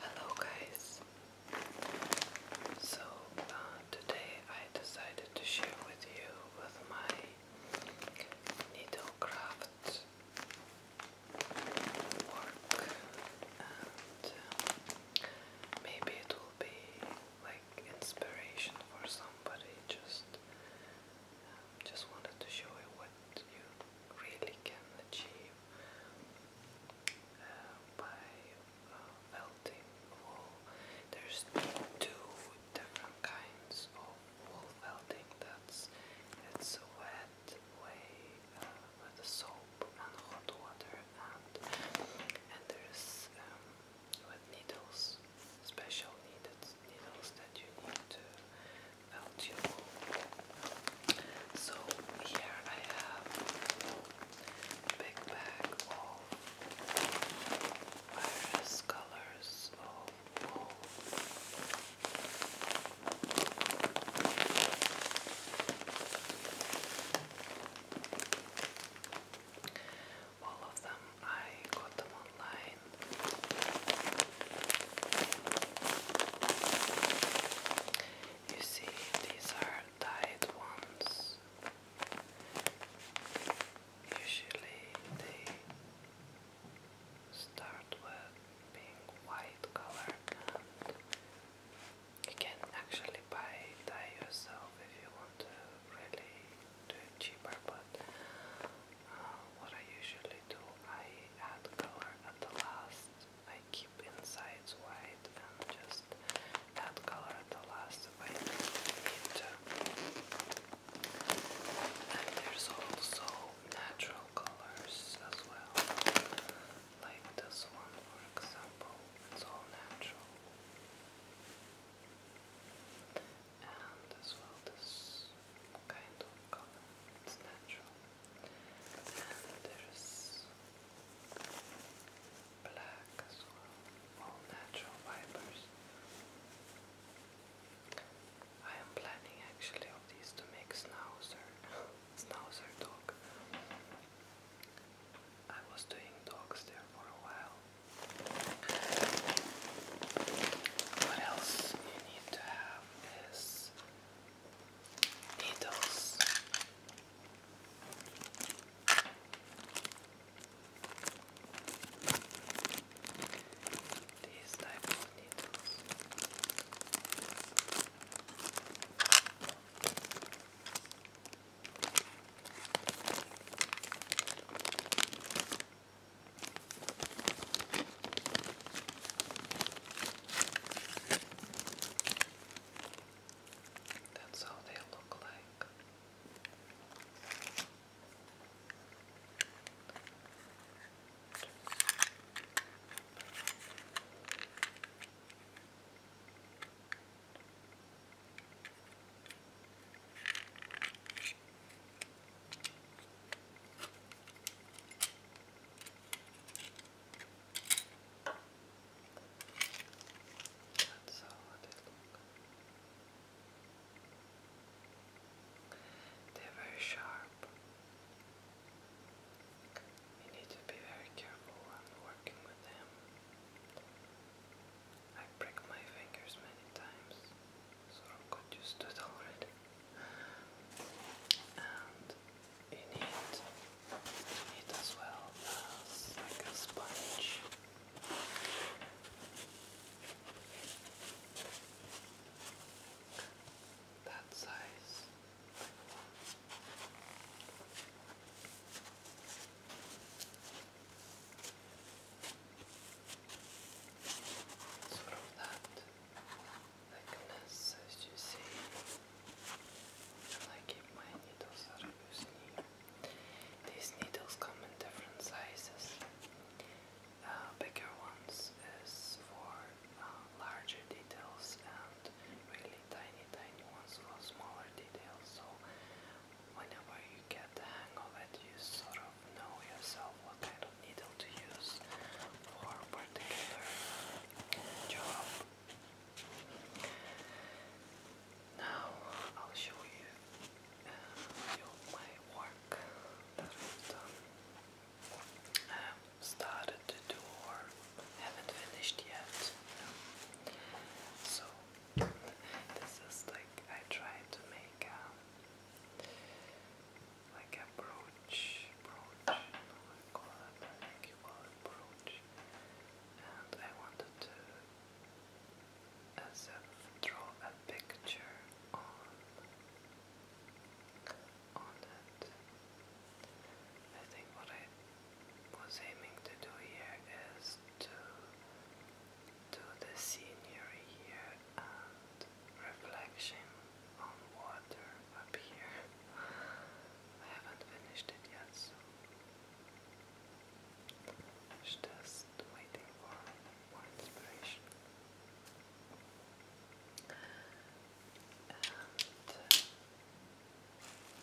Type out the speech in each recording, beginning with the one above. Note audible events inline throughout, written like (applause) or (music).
Hello, guys. So, uh, today I decided to share with you with my needlecraft work, and uh, maybe it will be like inspiration for somebody. Just, um, just wanted to show you that you really can achieve uh, by uh, felting wool. There's two different kinds of wool felting. That's it's a wet way uh, with soap and hot water, and and there's um, with needles, special needles you that you need to melt your mold. So here I have a big bag of various colors of mold. All of them, I got them online you see, these are dyed ones. Usually they start with being white colored you can actually buy dye yourself if you want to really do it cheaper but what I usually do, I add color at the last. I keep inside white and just add color at the last if I need to. And there's also natural colors as well, like this one for example, it's all natural and as well this kind of color, it's natural. And there is black as well, all natural fibers. I am planning actually of these to make Schnauzer, (laughs) Schnauzer dog. I was doing dogs there for a while. What else need to have is needles. These type of needles. That's how they look like. That's how they look. They're very sharp. You need to be very careful when working with them. I break my fingers many times sort of got used to it already. And you need, as well as like a sponge. That size sort of that thickness as you see. And my needles out of These needles come in different sizes. Uh, bigger ones is for uh, larger details and really tiny tiny ones for smaller details. So whenever you get the hang of it, you sort of know yourself what kind of needle to use for a particular job. Now I'll show you uh, my work that I've done. started to do or haven't finished yet. So this is like I tried to make um, like a brooch, call it, I think you call it brooch. And I wanted to, as if, draw a picture on, on it. I think what I was aiming to do here is to to the scenery here and reflection on water up here. I haven't finished it yet, so it's just waiting for more inspiration.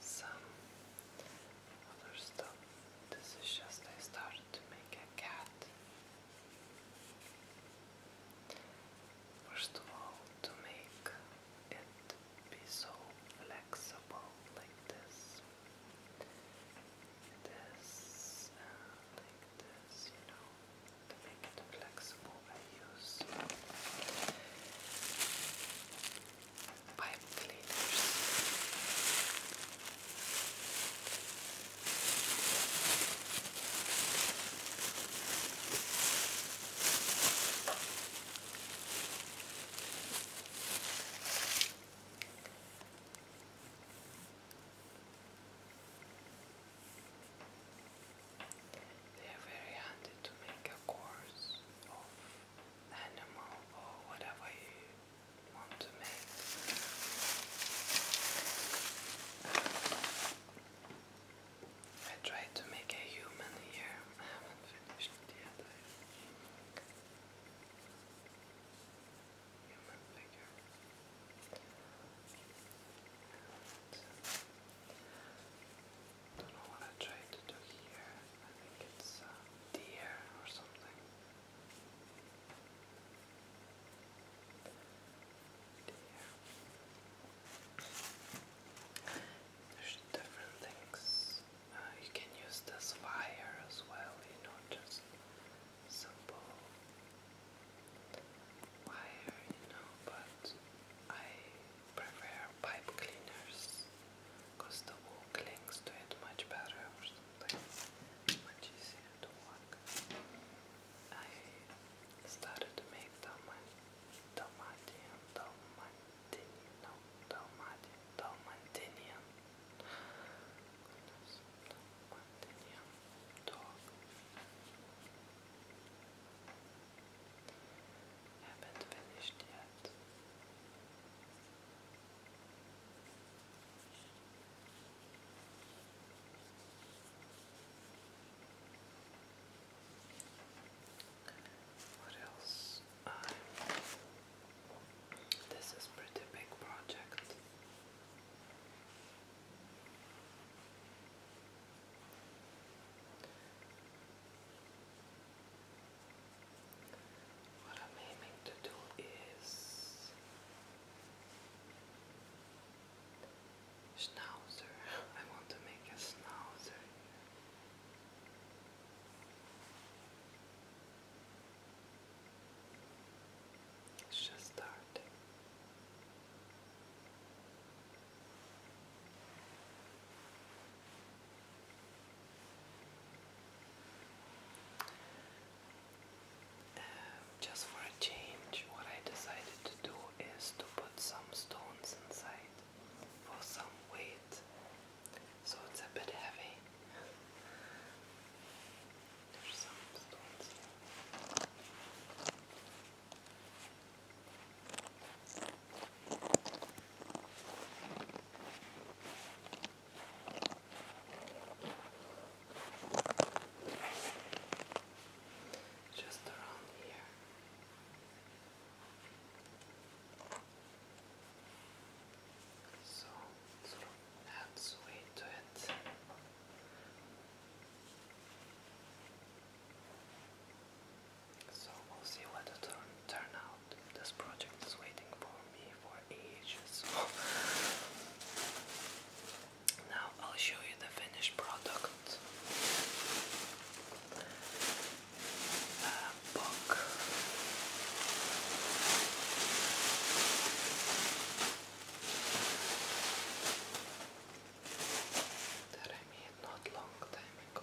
some other stuff. This is just I started to make a cat First of all, to make it be so flexible like this, this, uh, like this, you know, to make it flexible, I use pipe cleaners. They're very handy to make a course of animal or whatever you want to I tried to make a human here. I haven't finished yet. human figure. don't know what I tried to do here. I think it's a deer or something. There's different things. Uh, you can use this fire as well, you know, just simple wire, you know, but I prefer pipe cleaners because the wool clings to it much better but when she to walk, I started to make Dalmatian, Dalmatian, Dalmatian, no, Dalmatian, Dalmatinian, goodness, Dalmatinian dog. Haven't finished yet. What else? Um, this is pretty big project what I'm aiming to do is schnauzer. I want to make a schnauzer. It's just starting. (sighs) just for a change, what I decided to do is to put some stones inside for some weight, so it's a bit heavy. (sighs) There's some stones just around here. So sort of adds to it. So we'll see what the turn turnout this project is waiting for me (laughs) now I'll show you the finished product. A book. That I made not long time ago.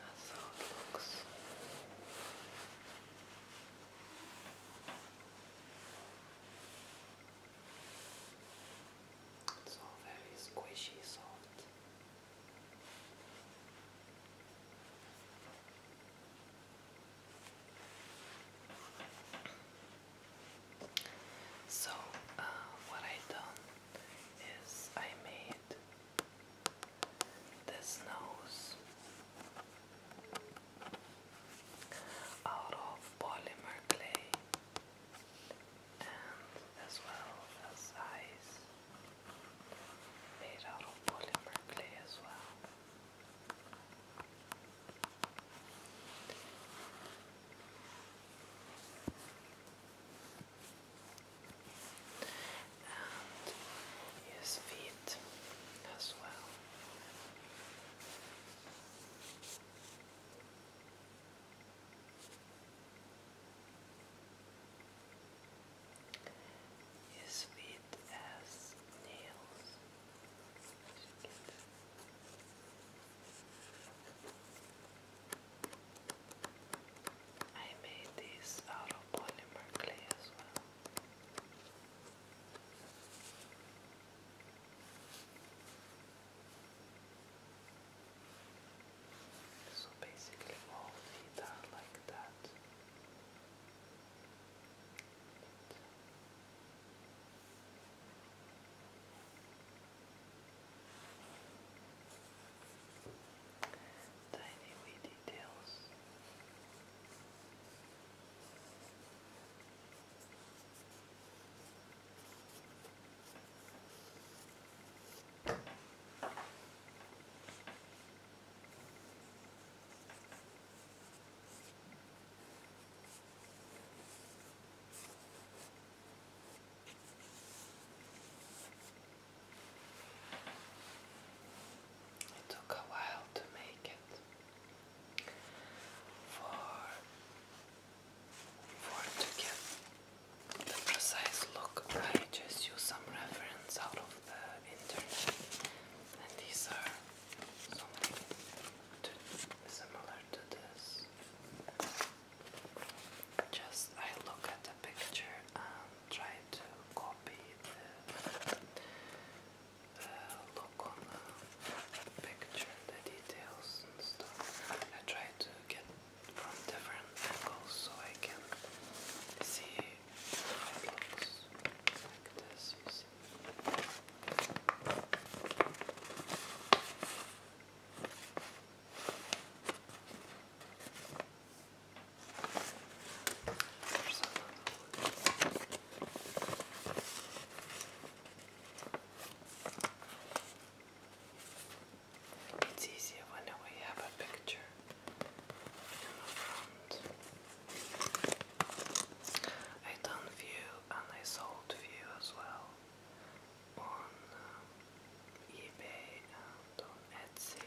That's how it looks. It's all very squishy, soft. So, uh, what I done is I made this nose out of polymer clay and as well as eyes made out of polymer clay as well and his feet as well. His feet as nails. I made these out of polymer clay as well. So basically, all feet are like that tiny wee details. It took a while to make it. For for to get the precise look, I just use some reference out of the internet, and these are something to, similar to this. Just I look at the picture and um, try to copy the uh, on the picture, the details stuff. I try to get from different angles so I can see how it like this, you see. It's easier when we have a picture in the front. I done view and I sold view as well on um, eBay um, around on Etsy,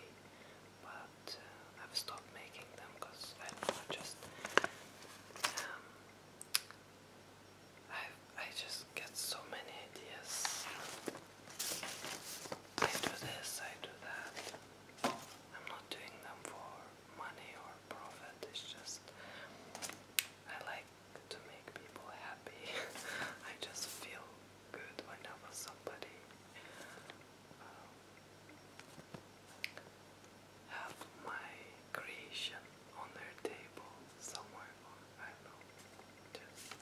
but uh, I've stopped making them because I don't know, just um, I I just get so many ideas. I do this, I do that. I'm not doing them for money or profit. It's just I like to make people happy. (laughs) I just feel good whenever somebody um, have my creation on their table somewhere I know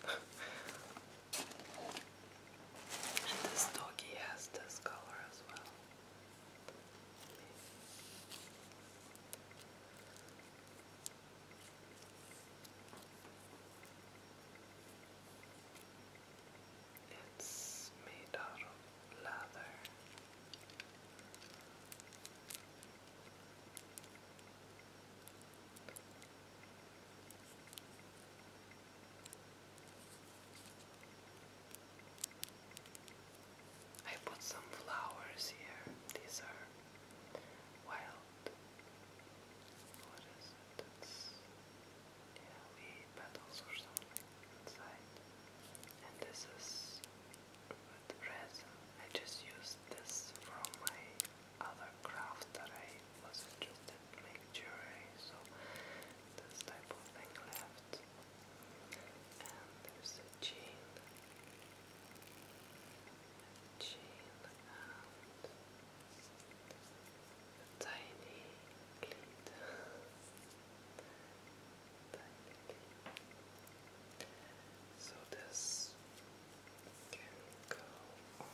(laughs) this doggy has this color as well it's made out of leather. I put some flowers here. These are wild called? What is it? It's yeah, petals or something inside. And this is with resin. I just used this from my other craft that I was interested in making jewelry, so this type of thing left. And there's chain. chain and a tiny clit. tiny clit. So this can go on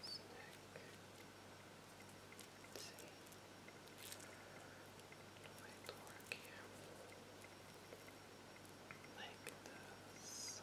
his neck. Let's see? work here. Like this.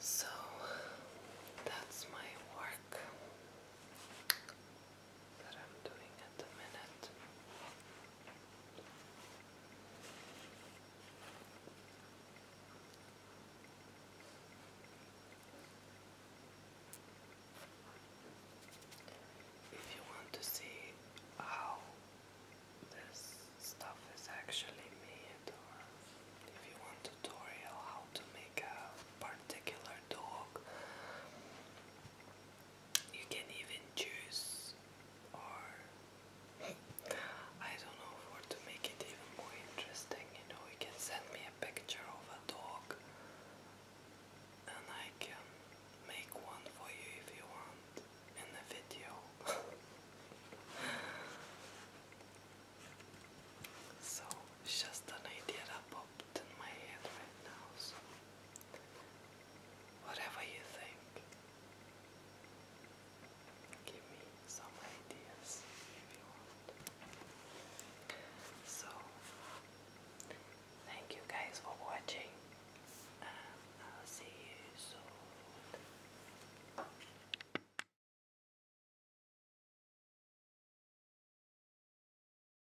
So that's my work that If you want to see how this stuff is actually made, or if you want tutorial how to make a particular dog, you can even choose or I don't know for to make it even more interesting, you know, you can send me a picture of a dog and I can make one for you if you want in the video. (laughs) so it's just an idea that popped in my head right now. So Whatever you think. Give me some ideas if you want. So, thank you guys for watching, and I'll see you soon.